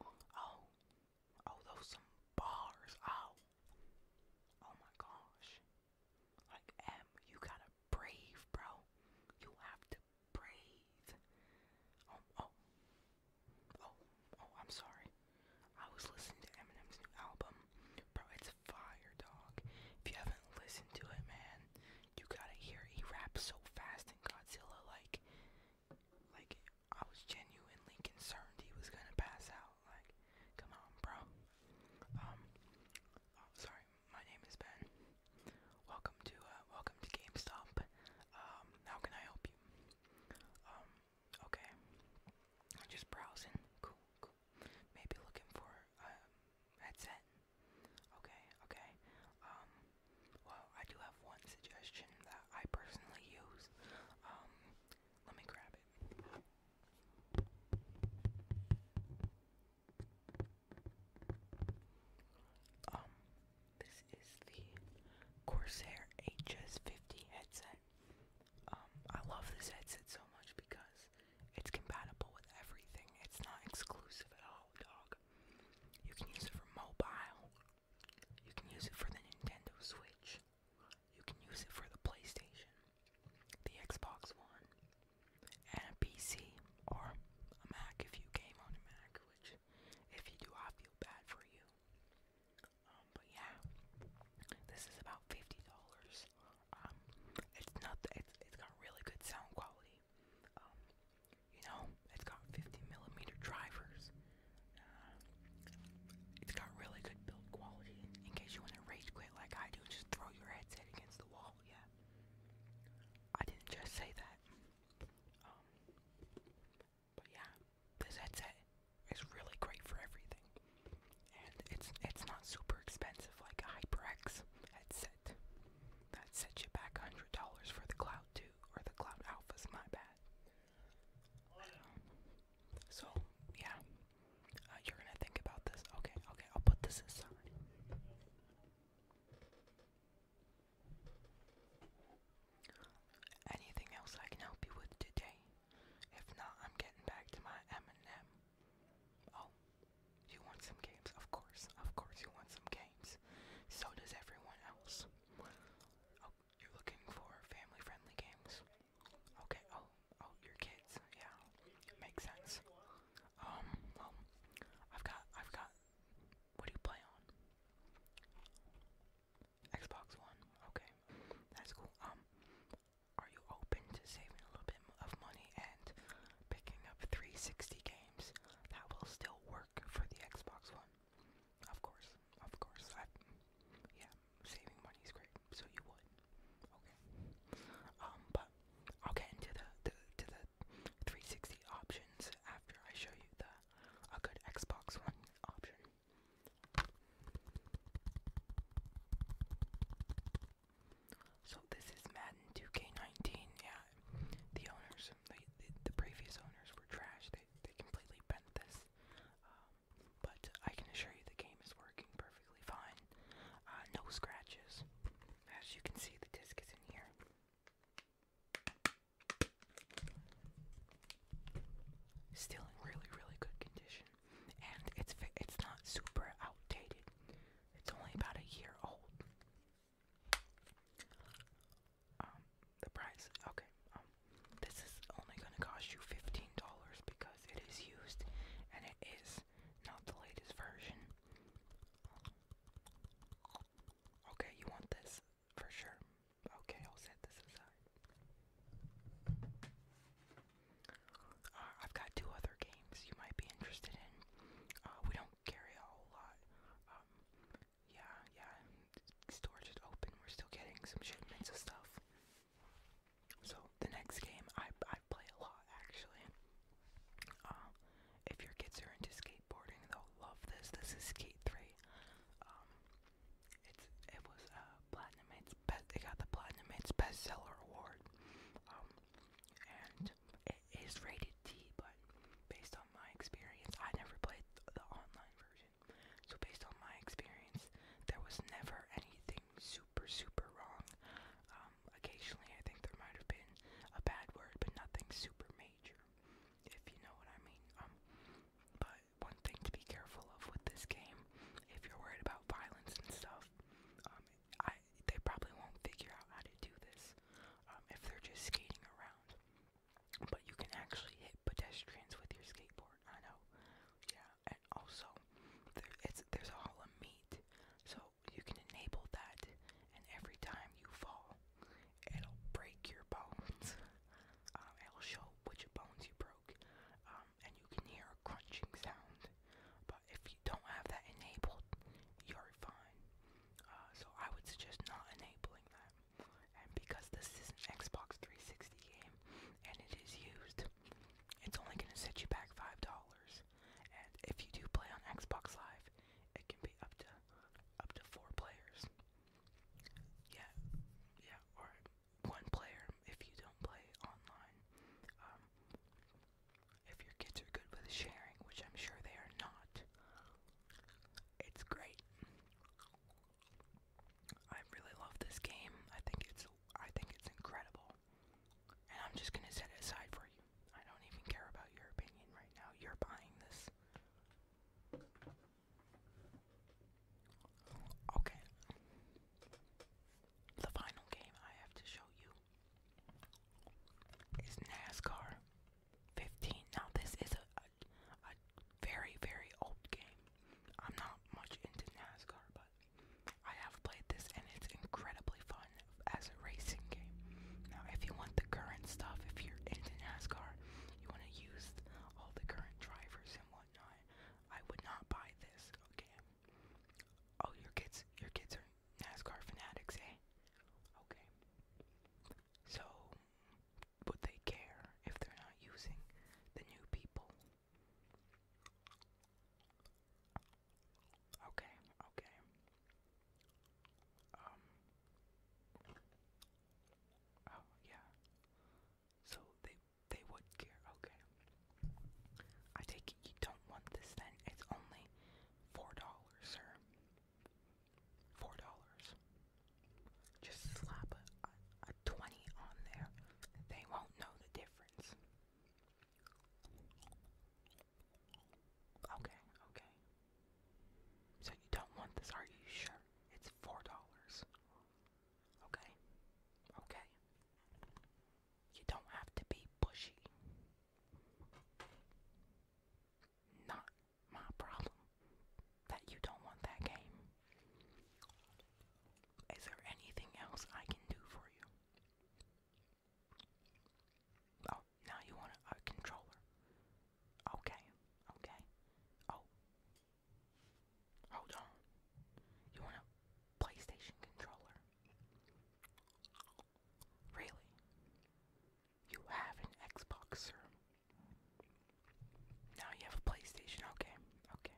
Oh, oh, those bars. Oh, oh my gosh. Like, M, you gotta breathe, bro. You have to breathe. Oh, oh, oh, oh, I'm sorry. I was listening to Eminem's new album. Bro, it's fire, dog. If you haven't listened to it, man, you gotta hear he raps so fast in Godzilla like like I was genuinely concerned he was gonna pass out. Like, come on, bro. Um oh, sorry, my name is Ben. Welcome to uh, welcome to GameStop. Um, how can I help you? Um, okay. just browsing. Cool, cool. Maybe looking for a headset. Okay, okay. Um, well, I do have one suggestion that I personally use. Um, let me grab it. Um, this is the Corsair HS50 headset. I love this headset so much because it's compatible with everything. It's not exclusive at all, dog dock. You can use it for mobile. You can use it for the Nintendo Switch. You can use it for the PlayStation, the Xbox One, and a PC or a Mac if you game on a Mac, which if you do, I feel bad for you. Um, but yeah, this is about fifty dollars. Um, it's not. It's, it's got really good sound quality. Um, you know, it's got 50 millimeter drivers. Uh, it's got really good build quality. In case you want to rage quit like I do, just throw your headset against the wall. Yeah, I didn't just say that. Um, but yeah, this headset is really great for everything, and it's it's not super expensive like a HyperX headset that sets you back $100 for the Cloud 2 or the Cloud Alphas, my bad. so, yeah. Uh, you're gonna think about this. Okay, okay, I'll put this aside. Anything else I can help you with today? If not, I'm getting back to my M&M. Oh, you want some games, of course. Of course, you want some games. So does everyone else. Oh, you're looking for family-friendly games. Okay. Oh, oh, your kids. Yeah, makes sense. Um, well, I've got, I've got. What do you play on? Xbox One. Okay, that's cool. Um, are you open to saving a little bit of money and picking up 360 games? that will still work for the Xbox One. Of course, of course. yeah, saving money is great, so you would. Okay. Um, but I'll get into the, the to the 360 options after I show you the a good Xbox One option. So this is Madden 2K19. Yeah, the owners, the, previous owners were trash. They they completely bent this. Um, but I can assure you the game is working perfectly fine. Uh, no scratches. As you can see, the disc is in here. Still in really really good condition, and it's it's not super outdated. It's only about a year old. Um, the price. Okay. Um, this is only gonna cost you fifteen dollars because it is used, and it is not the latest version. Okay, you want this for sure. Okay, I'll set this aside. Uh, I've got two other games you might be interested in. Uh, we don't carry a whole lot. Um, yeah, yeah, storage just open. We're still getting some shipments of stuff. So the next game I I play a lot actually. Um, if your kids are into skateboarding, they'll love this. This is Skate Three. Um, it's it was uh platinum. It's best. It got the platinum. bestseller award. Um, and it is rated T, but based on my experience, I never played the online version. So based on my experience, there was never anything super super wrong. Um, occasionally, I think there might have been a bad word, but nothing super major, if you know what I mean. Um, but one thing to be careful of with this game, if you're worried about violence and stuff, um, I they probably won't figure out how to do this um, if they're just skating around. But you can actually hit pedestrians with your skateboard. I know, yeah. And also, there, it's there's a hall of meat, so you can enable that. And every time you fall, it'll break your bones. um, it'll show which bones you broke, um, and you can hear a crunching sound but if you don't have that enabled, you're fine. Uh, so I would suggest not enabling that. And because this is an Xbox 360 game and it is used, it's only going to set you back $5. And if you do play on Xbox Live, it can be up to up to four players. Yeah, yeah, or one player if you don't play online. Um, if your kids are good with sharing, which I'm sure they are not, it's great. I really love this game. I think it's I think it's incredible. And I'm just gonna set it aside for you. I don't even care about your opinion right now. You're buying this. Okay. The final game I have to show you is NASCAR 15. Now this is a, a very very old game. I'm not much into NASCAR, but I have played this and it's incredibly fun as a racing game. Now if you want the current stuff, if you're into NASCAR, you want to use all the current drivers and whatnot. I would not buy this, okay? Oh, your kids, your kids are NASCAR fanatics, eh? Okay. So, would they care if they're not using the new people? Okay, okay. Um. Oh yeah. So they they would care. Okay. I take it you don't want this then. It's only Four dollars, sir. Four dollars. Just slap a, 20 on there. They won't know the difference. Okay, okay. So you don't want this, are you sure? It's four dollars. Okay, okay. You don't have to be pushy. Not my problem that you don't want that game. Is there anything else I can do for you? Oh, now you want a, controller. Okay, okay. Oh. Hold on. You want a PlayStation controller? Really? You have an Xbox, sir? Now you have a PlayStation. Okay, okay.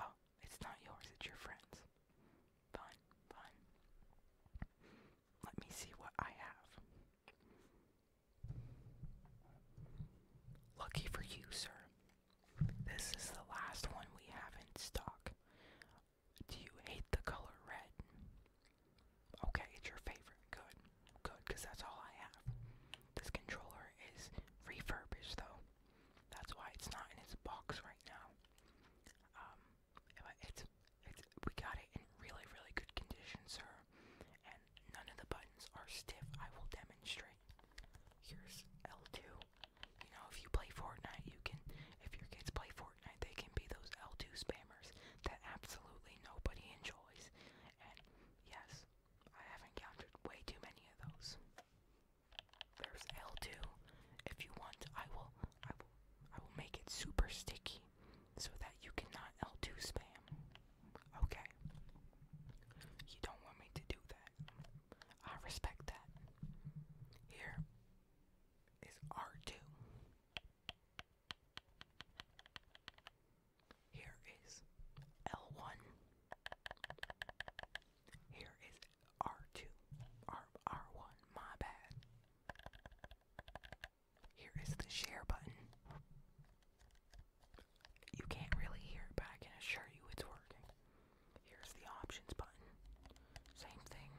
Oh, it's not yours, it's your friend's. Fine, fine. Let me see what I have. Lucky for you, sir. This is the last one we have in stock. Do you hate the color red? Okay, it's your favorite. Good. Good, because that's all I have. This controller is refurbished, though. That's why it's not in its box right now. Um, it's, it's, we got it in really, really good condition, sir. And none of the buttons are stiff. I will demonstrate. Here's L2. You know, if you play Fortnite, you can. If your kids play Fortnite, they can be those L2 spammers that absolutely nobody enjoys. And yes, I have encountered way too many of those. There's L2. If you want, I will. I will. I will make it super sticky so that you cannot L2 spam. Okay. You don't want me to do that. I respect that. Here, is R2. Here is L1. Here is R2. R R1, my bad. Here is the share button. You can't really hear it, but I can assure you it's working. Here's the options button. Same thing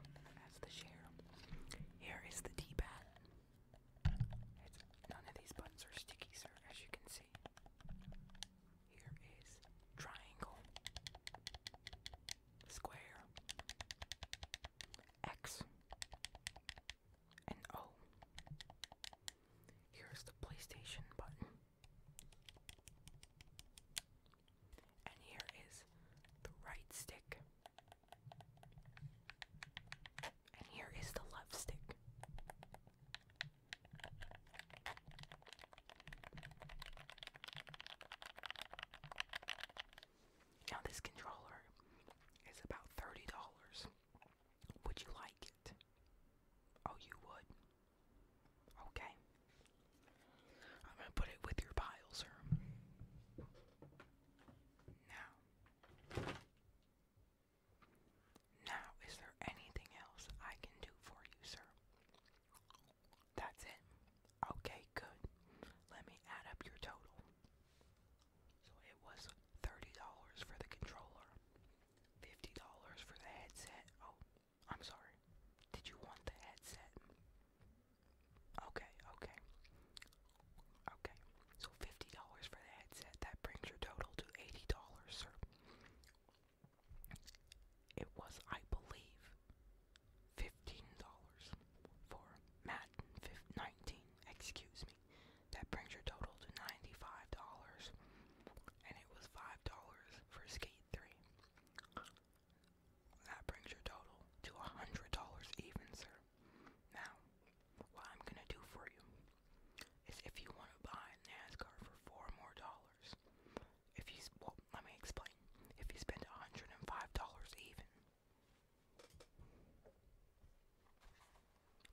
as the share. Here is the D-pad. none of these buttons are sticky, sir, as you can see. Here is triangle, square, X, and O. Here's the PlayStation button. And here is the right stick. And here is the left stick. Now, this controller is about $30. Would you like it? Oh, you would. Okay. I'm going to put it with your pile, sir. Now. Now, is there anything else I can do for you, sir? That's it. Okay, good. Let me add up your total. So it was $30 for the controller, $50 for the headset. Oh, I'm sorry. Did you want the headset? Okay, okay. Okay. So fifty dollars for the headset. That brings your total to eighty dollars, sir. It was, I believe, fifteen dollars for Madden 19. Excuse me. That brings your total to ninety-five dollars, and it was five dollars for Skate Three. That brings your total to $100 even, sir. Now, what I'm gonna do for you is if you want to buy a NASCAR for four more dollars, if you let me explain. If you spend $105 even,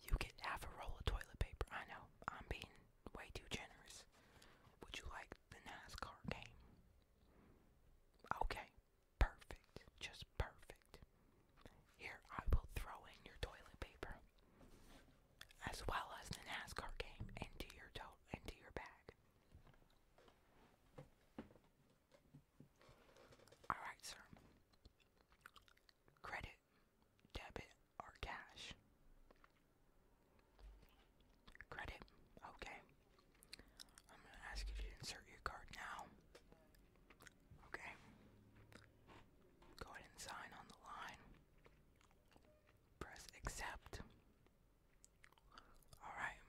you get half a roll of toilet paper. I know I'm being way too generous. Would you like the NASCAR game. Okay, perfect, just perfect. Here, I will throw in your toilet paper, as well as the NASCAR game, into your to into your bag. All right, sir. Credit, debit, or cash? Credit? Okay. I'm gonna ask you to insert your card now. Okay. Go ahead and sign on the line. Press accept. Alright.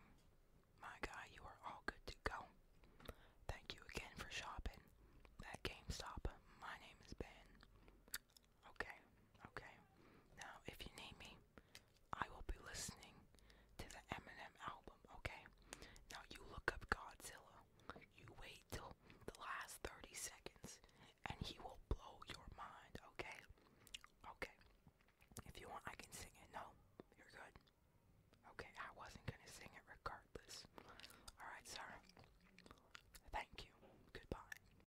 My guy, you are all good to go. Thank you again for shopping at GameStop. My name is Ben. Okay, okay. Now, if you need me, I will be listening to the Eminem album, okay? Now, you look up Godzilla. You wait till the last 30 seconds, and he will blow your mind, okay? Okay. If you want, I can sing it. No, you're good. Okay, I wasn't gonna sing it regardless. Alright, sir. Thank you. Goodbye.